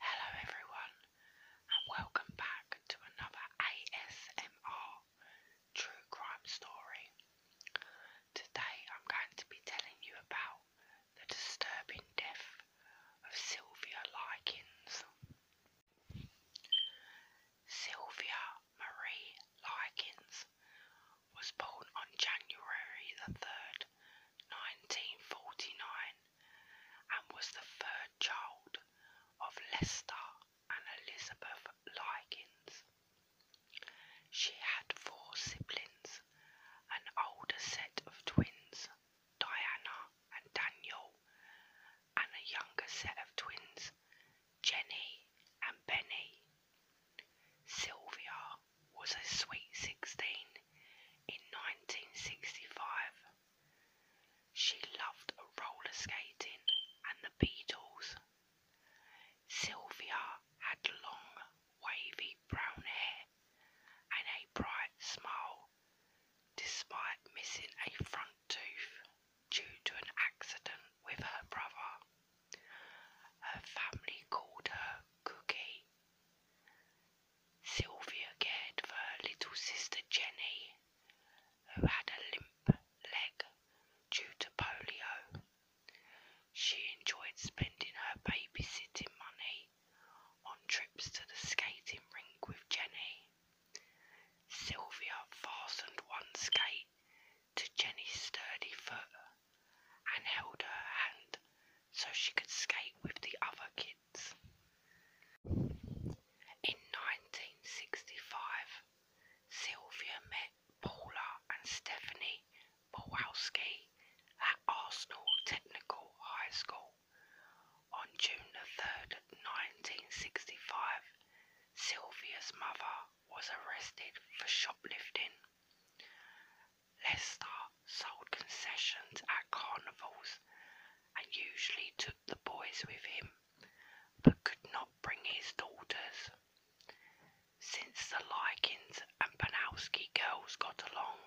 Hello everyone and welcome back to another ASMR true crime story. Today I'm going to be telling you about the disturbing death of Sylvia Likens. Sylvia Marie Likens was born on January the 3rd, 1949 and was the third child of Lester and Elizabeth Likens. She had four siblings, an older set of twins, Diana and Daniel, and a younger set of twins, Jenny and Benny. Sylvia was a sweet 16 in 1965. She loved roller skating and the Beatles. Sylvia had long, wavy brown hair and a bright smile, despite missing a front tooth due to an accident with her brother. Her family called her Cookie. Sylvia cared for her little sister Jenny, who had a limp leg due to polio. She enjoyed spending her babysitting money on trips to the skating rink with Jenny. Sylvia fastened one skate to Jenny's sturdy foot and held her hand so she could skate with the other kid. In 1965, Sylvia met Paula and Stephanie Bowalski at Arsenal Technical High School. On June the 3rd, 1965, Sylvia's mother was arrested for shoplifting. Lester sold concessions at carnivals and usually took the boys with him, but could not bring his daughters. Since the Likens and Panowski girls got along,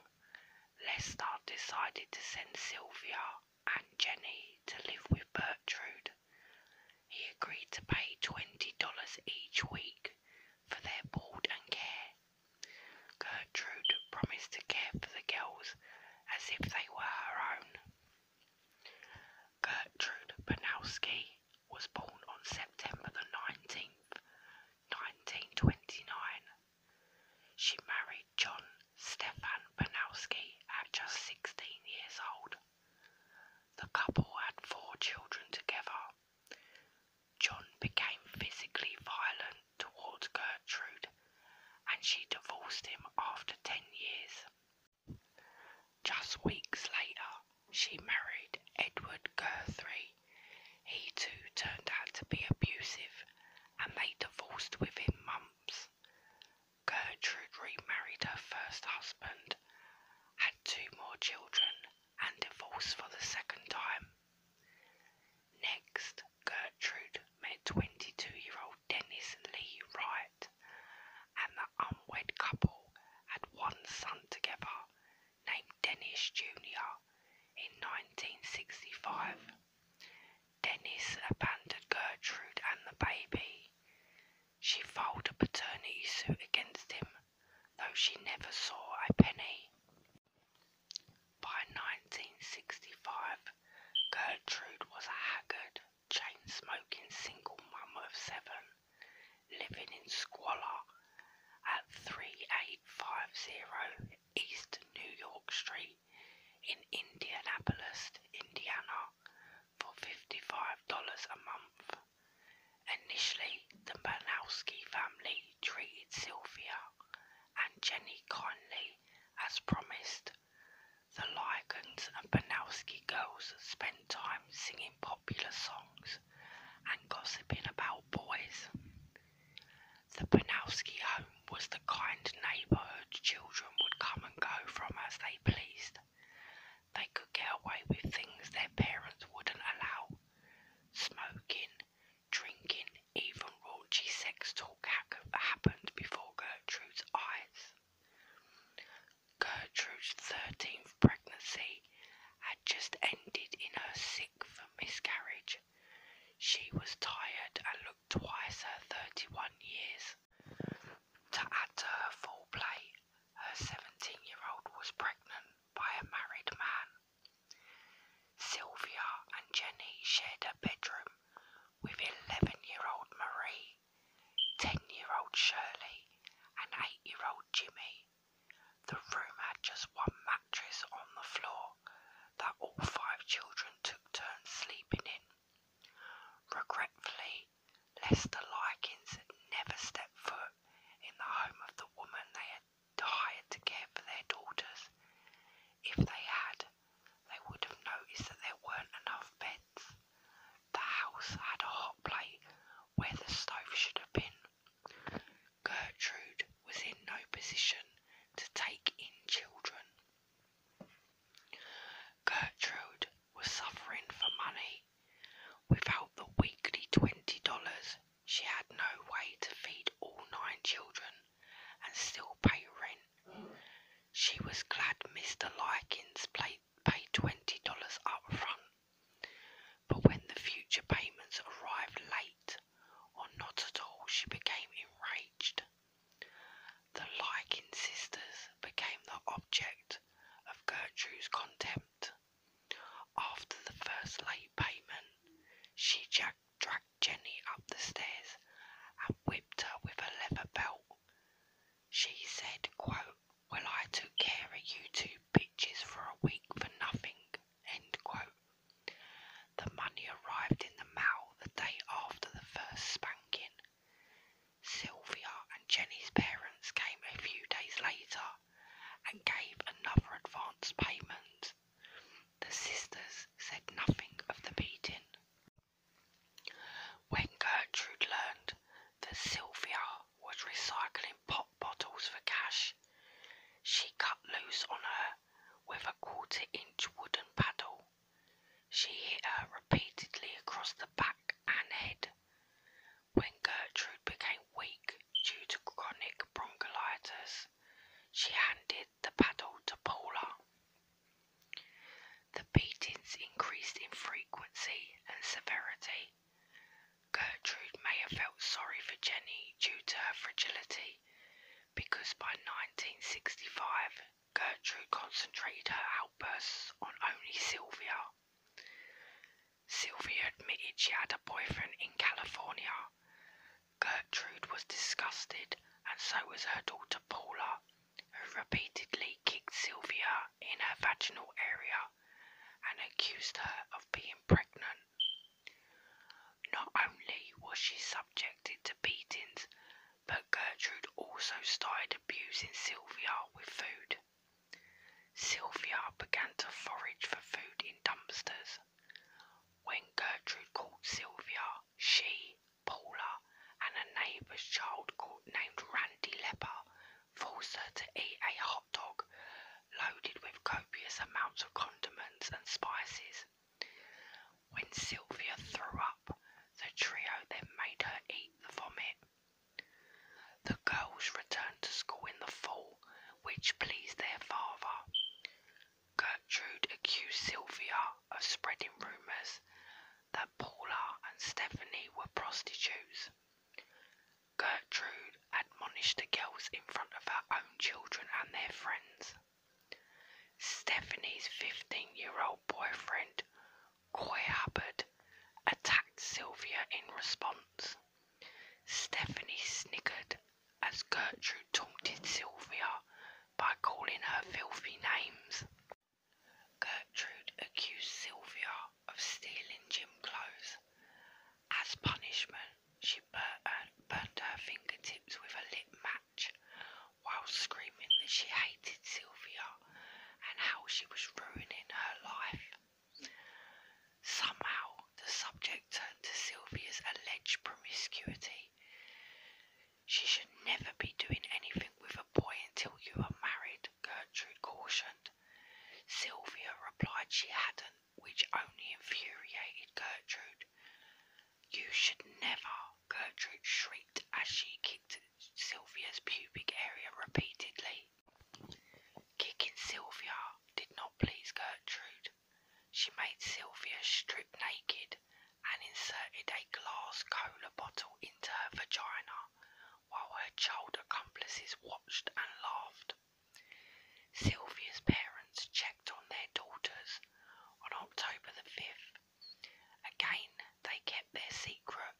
Lester decided to send Sylvia and Jenny to live with Bertrude. He agreed to pay $20 each week for their board and care Gertrude promised to care for the girls as if they were her own. Gertrude Panowski was born on September the 19th, 1929. She married John Stefan Panowski at just 16 years old. The couple had four children together John became physically violent towards Gertrude, and she divorced him after 10 years. Just weeks later, she married Edward Guthrie. He too turned out to be abusive, and they divorced within months. Gertrude remarried her first husband, had two more children, and divorced for the second time. Next, Gertrude met 22 year old Dennis Lee Wright, and the unwed couple had one son together named Dennis Jr. in 1965. Dennis abandoned Gertrude and the baby. She filed a paternity suit against him, though she never saw a penny. By 1965, Gertrude was a haggard, chain smoking single mum of seven, living in squalor at 3850 East New York Street in Indianapolis, Indiana, for $55 a month. Initially, the Banowski family treated Sylvia and Jenny Conley as promised. The Lygans and Banowski girls spent time singing popular songs and gossiping about boys. The Banowski home was the kind neighbourhood children would come and go from as they pleased. They could get away with things their parents wouldn't allow smoking, drinking, even raunchy sex talk happened before Gertrude's eyes. Gertrude's 13th pregnancy had just ended in her sixth miscarriage. She was tired and looked twice her 31 years. To add to her full play, her 17 year old was pregnant by a married man. Sylvia and Jenny shared a bedroom with 11 year old Marie, 10 year old Shirley, and 8 year old Jimmy. The room had just one mattress on the floor that all five children took turns sleeping in. Regretfully, Lester Likens never stepped foot in the home of the woman they had died to care for their daughters. If they had, they would have noticed that there weren't enough beds. The house had a hot plate where the stove should have been. Gertrude was in no position to take in children. Gertrude was suffering for money. Without the weekly $20, she had no way to feed all nine children and still pay rent. She was glad Mr. Likins paid $20 up front, but when the future payments arrived late or not at all, she became enraged. The Likin sisters became the object of Gertrude's contempt. After the first late payment, she dragged Jenny up the stairs and whipped her with a leather belt. She said, quote, Well, I took care of you two bitches for a week for nothing. End quote. The money arrived in the mail the day after the first spanking. Sylvia and Jenny's parents came a few days later and gave another advance payment. The sisters said nothing of the beating. When Gertrude learned that Sylvia was recycling pop bottles for cash, she cut loose on her with a quarter inch wooden paddle. She hit her repeatedly across the back and head. When Gertrude became weak due to chronic bronchitis, she handed the paddle to Paula. The beatings increased in frequency and severity. Gertrude may have felt sorry for Jenny due to her fragility because by 1965 Gertrude concentrated her outbursts on only Sylvia. Sylvia admitted she had a boyfriend in California Gertrude was disgusted, and so was her daughter Paula, who repeatedly kicked Sylvia in her vaginal area and accused her of being pregnant. Not only was she subjected to beatings, but Gertrude also started abusing Sylvia with food. Sylvia began to forage for food in dumpsters. When Gertrude called Sylvia she, Paula, and a neighbor's child called, named Randy Lepper forced her to eat a hot dog loaded with copious amounts of condiments and spices. When Sylvia threw up, the trio then made her eat the vomit. The girls returned to school in the fall, which pleased their father. Gertrude accused Sylvia of spreading rumours that Paula and Stephanie were prostitutes. Gertrude admonished the girls in front of her own children and their friends. Stephanie's 15 year old boyfriend, Coy Hubbard, attacked Sylvia in response. Stephanie snickered as Gertrude taunted Sylvia by calling her filthy names. Gertrude accused Sylvia of stealing gym clothes. As punishment, she uh, burnt her fingertips with a lit match while screaming that she hated Sylvia and how she was ruining her life. Somehow, the subject turned to Sylvia's alleged promiscuity. She should never be doing anything with a boy until you are married, Gertrude cautioned. Sylvia replied she hadn't, which only infuriated Gertrude. You should never, Gertrude shrieked as she kicked Sylvia's pubic area repeatedly. Kicking Sylvia did not please Gertrude. She made Sylvia strip naked and inserted a glass cola bottle into her vagina while her child accomplices watched and laughed. Sylvia's parents checked on their daughters on October the 5th. Again, they kept their secret,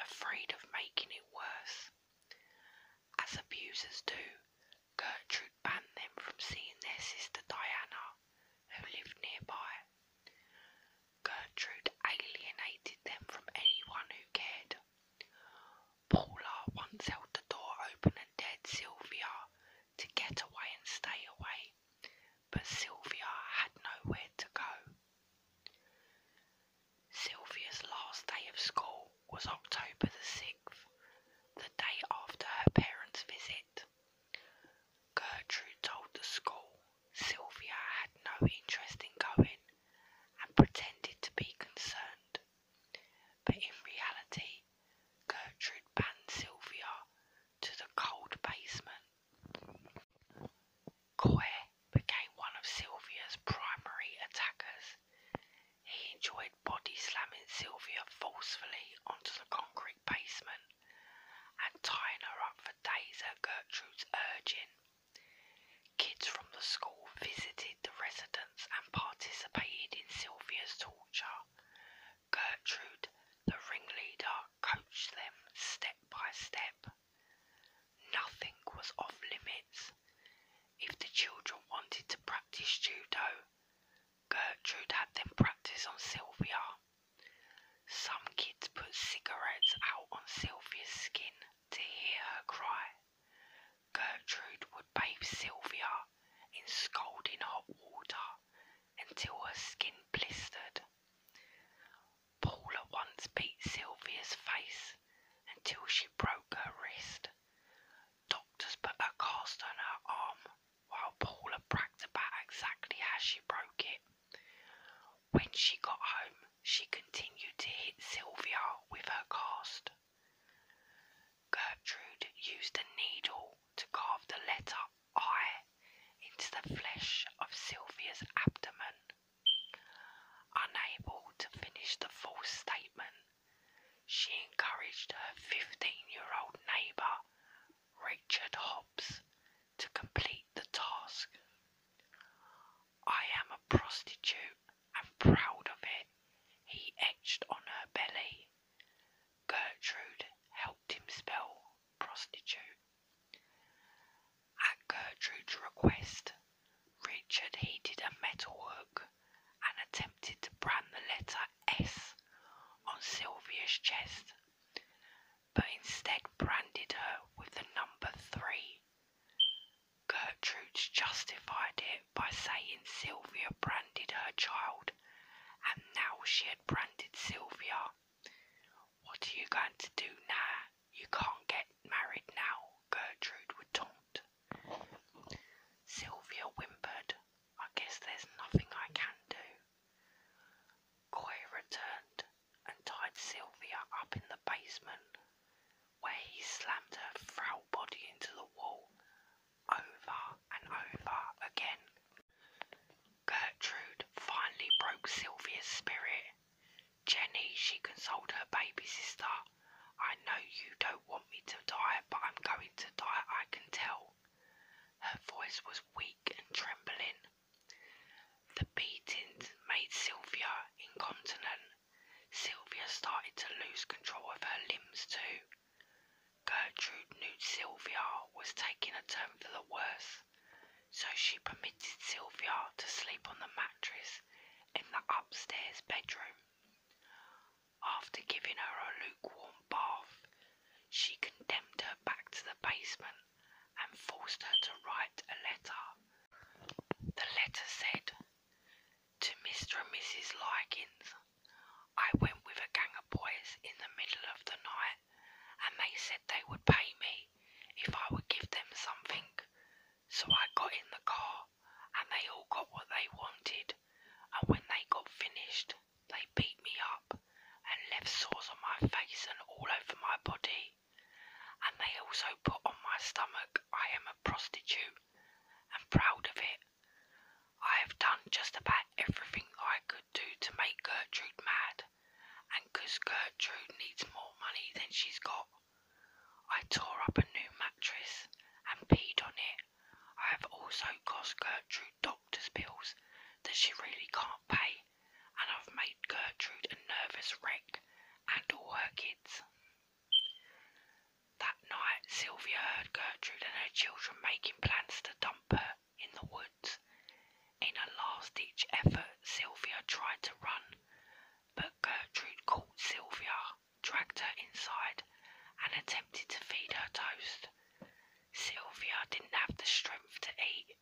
afraid of making it worse. As abusers do, Gertrude would ban them from seeing their sister Diana, who lived nearby. Gertrude alienated them from anyone who cared. Paula once held the door open and dared Sylvia to get away and stay away, but Sylvia had nowhere to go. Sylvia's last day of school was October the 6th, the day after her parents' visit. Gertrude told the school Sylvia had no interest in going and pretended to be concerned. But in reality, Gertrude ban Sylvia to the cold basement. Coy became one of Sylvia's primary attackers. He enjoyed body slamming Sylvia forcefully onto the concrete basement and tying her up for days at Gertrude's urging. Kids from the school visited the residence and participated in Sylvia's torture. Gertrude, the ringleader, coached them step by step. Nothing was off limits. If the children wanted to practice judo, Gertrude had them practice on Sylvia. Some kids put cigarettes out on Sylvia's skin to hear her cry. Gertrude would bathe Sylvia in scalding hot water until her skin blistered. Paul once beat Sylvia's face until she broke her wrist. Doctors put a cast on her arm while Paula bragged about exactly how she broke it. When she got home, she continued to hit Sylvia with her cast. Gertrude used a needle to carve the letter I into the flesh of Sylvia's abdomen. Unable to finish the false statement, she encouraged her 15 year old neighbour Richard Hobbs to complete the task. I am a prostitute and proud of it, he etched on her belly. Gertrude helped him spell prostitute. At Gertrude's request, Richard heated a metal metalwork and attempted to brand the letter S on Sylvia's chest but instead branded her with the number three. Gertrude justified it by saying Sylvia branded her child, and now she had branded Sylvia. What are you going to do now? You can't get married now, Gertrude would taunt. Sylvia whimpered, I guess there's nothing I can do. Coy returned and tied Sylvia up in the basement, where he slammed her frail body into the wall over and over again. Gertrude finally broke Sylvia's spirit. Jenny, she consoled her baby sister. I know you don't want me to die, but I'm going to die, I can tell. Her voice was weak and trembling. The beatings made Sylvia incontinent. Sylvia started to lose control of her limbs too. Gertrude knew Sylvia was taking a turn for the worse, so she permitted Sylvia to sleep on the mattress in the upstairs bedroom. After giving her a lukewarm bath, she condemned her back to the basement and forced her to write a letter. The letter said, To Mr. and Mrs. Likins, I went with a gang of boys in the middle of the night and they said they would pay me if I would give them something. So I got in the car and they all got what they wanted. And when they got finished, they beat me up and left sores on my face and all over my body. And they also put on my stomach I am a prostitute and proud of it. I have done just about everything I could do to make Gertrude mad, and 'cause Gertrude needs more money than she's got. I tore up a new mattress and peed on it. I have also cost Gertrude doctor's bills that she really can't pay, and I've made Gertrude a nervous wreck and all her kids. That night, Sylvia heard Gertrude and her children making plans to dump her in the woods. In a last ditch effort, Sylvia tried to run, but Gertrude caught Sylvia, dragged her inside, and attempted to feed her toast. Sylvia didn't have the strength to eat.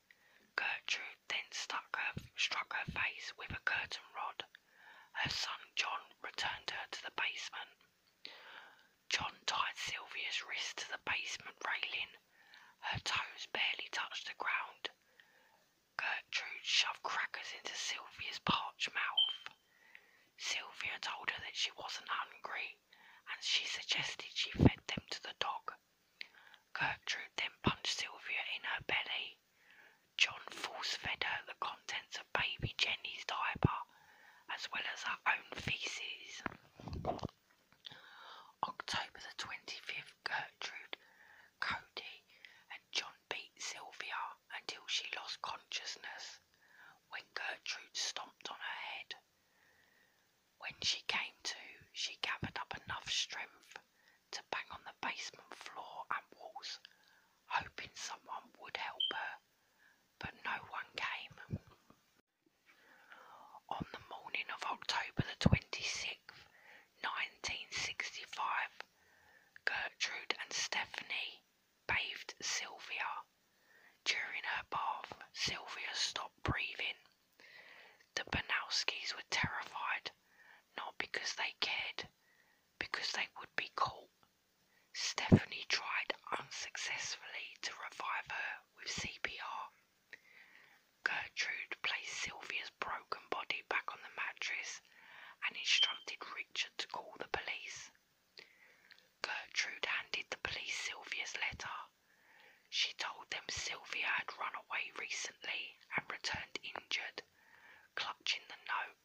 Gertrude then struck her face with a curtain rod. Her son John returned her to the basement. John tied Sylvia's wrist to the basement railing. Her toes barely touched the ground. Gertrude shoved crackers into Sylvia's parched mouth. Sylvia told her that she wasn't hungry and she suggested she fed them to the dog. Gertrude then punched Sylvia in her belly. John force fed her the contents of baby Jenny's diaper, as well as her own feces. October the 25th, Gertrude, Cody, and John beat Sylvia until she lost consciousness when Gertrude stomped on her head. When she came to, she gathered up enough strength to bang on the basement floor and walls, hoping someone would help her, but no one came. On the morning of October the 26th, 1965, Gertrude and Stephanie bathed Sylvia. During her bath, Sylvia stopped breathing the Panowskis were terrified, not because they cared, because they would be caught. Stephanie tried unsuccessfully to revive her with CPR. Gertrude placed Sylvia's broken body back on the mattress and instructed Richard to call the police. Gertrude handed the police Sylvia's letter she told them Sylvia had run away recently and returned injured, clutching the note.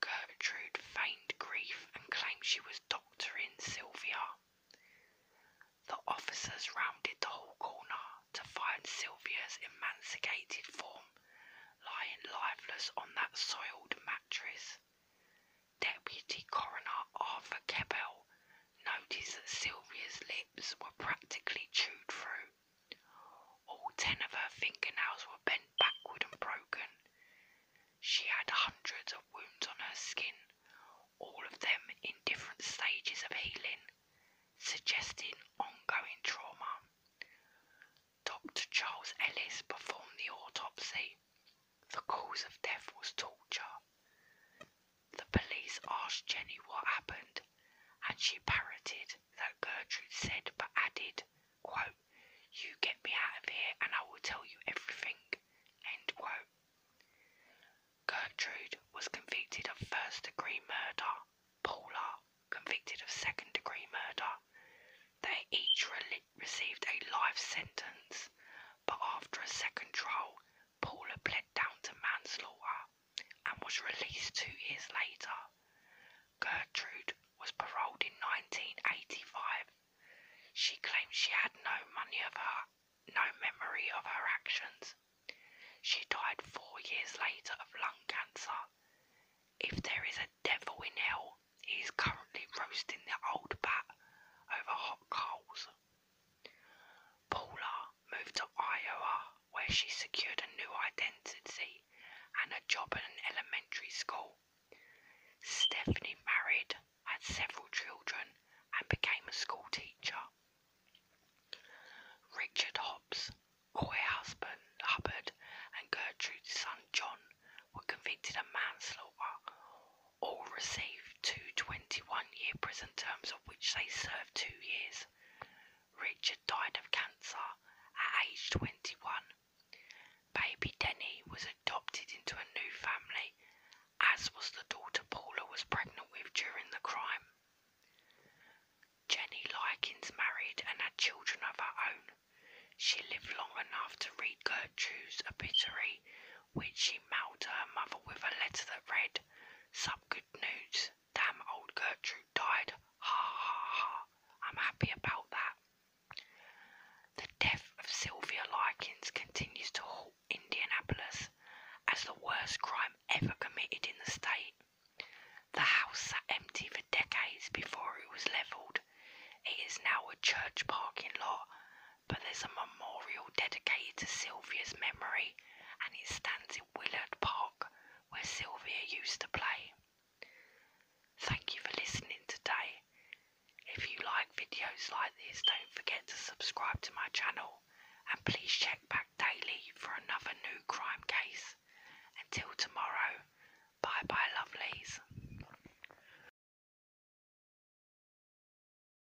Gertrude feigned grief and claimed she was doctoring Sylvia. The officers rounded the hall corner to find Sylvia's emaciated form lying lifeless on that soiled mattress. Deputy Coroner Arthur Kebell noticed that Sylvia's lips were practically chewed through. All ten of her fingernails were bent backward and broken. She had hundreds of wounds on her skin, all of them in different stages of healing, suggesting ongoing trauma. Dr. Charles Ellis performed the autopsy the cause of death was torture. The police asked Jenny what happened, and she parroted that Gertrude said, but added, You get me out of here and I will tell you everything. Gertrude was convicted of first degree murder, Paula convicted of second degree murder. They each received a life sentence, but after a second trial, Paula pled down to manslaughter and was released two years later. Gertrude was paroled in 1985. She claimed she had no money of her, no memory of her actions. She died four years later of lung cancer. If there is a devil in hell, he is currently roasting the old bat over hot coals. Paula moved to Iowa, where she secured a new identity and a job at an elementary school. Stephanie married, had several children, and became a school teacher. Richard Hobbs, Coy husband Hubbard, and Gertrude's son John were convicted of manslaughter all received two 21 year prison terms, of which they served two years. Richard died of cancer at age 21. Baby Denny was adopted into a new family, as was the daughter Paula was pregnant with during the crime. Jenny Likens married and had children of her own. She lived long enough to read Gertrude's obituary, which she mailed to her mother with a letter that read, Some good news. Damn old Gertrude died. Ha ha ha. I'm happy about that. The death of Sylvia Likens continues to haunt Indianapolis as the worst crime ever committed in the state. The house sat empty for decades before it was levelled. It is now a church parking lot but there's a memorial dedicated to Sylvia's memory and it stands in Willard Park where Sylvia used to play. Thank you for listening today. If you like videos like this, don't forget to subscribe to my channel and please check back daily for another new crime case. Until tomorrow, bye bye lovelies.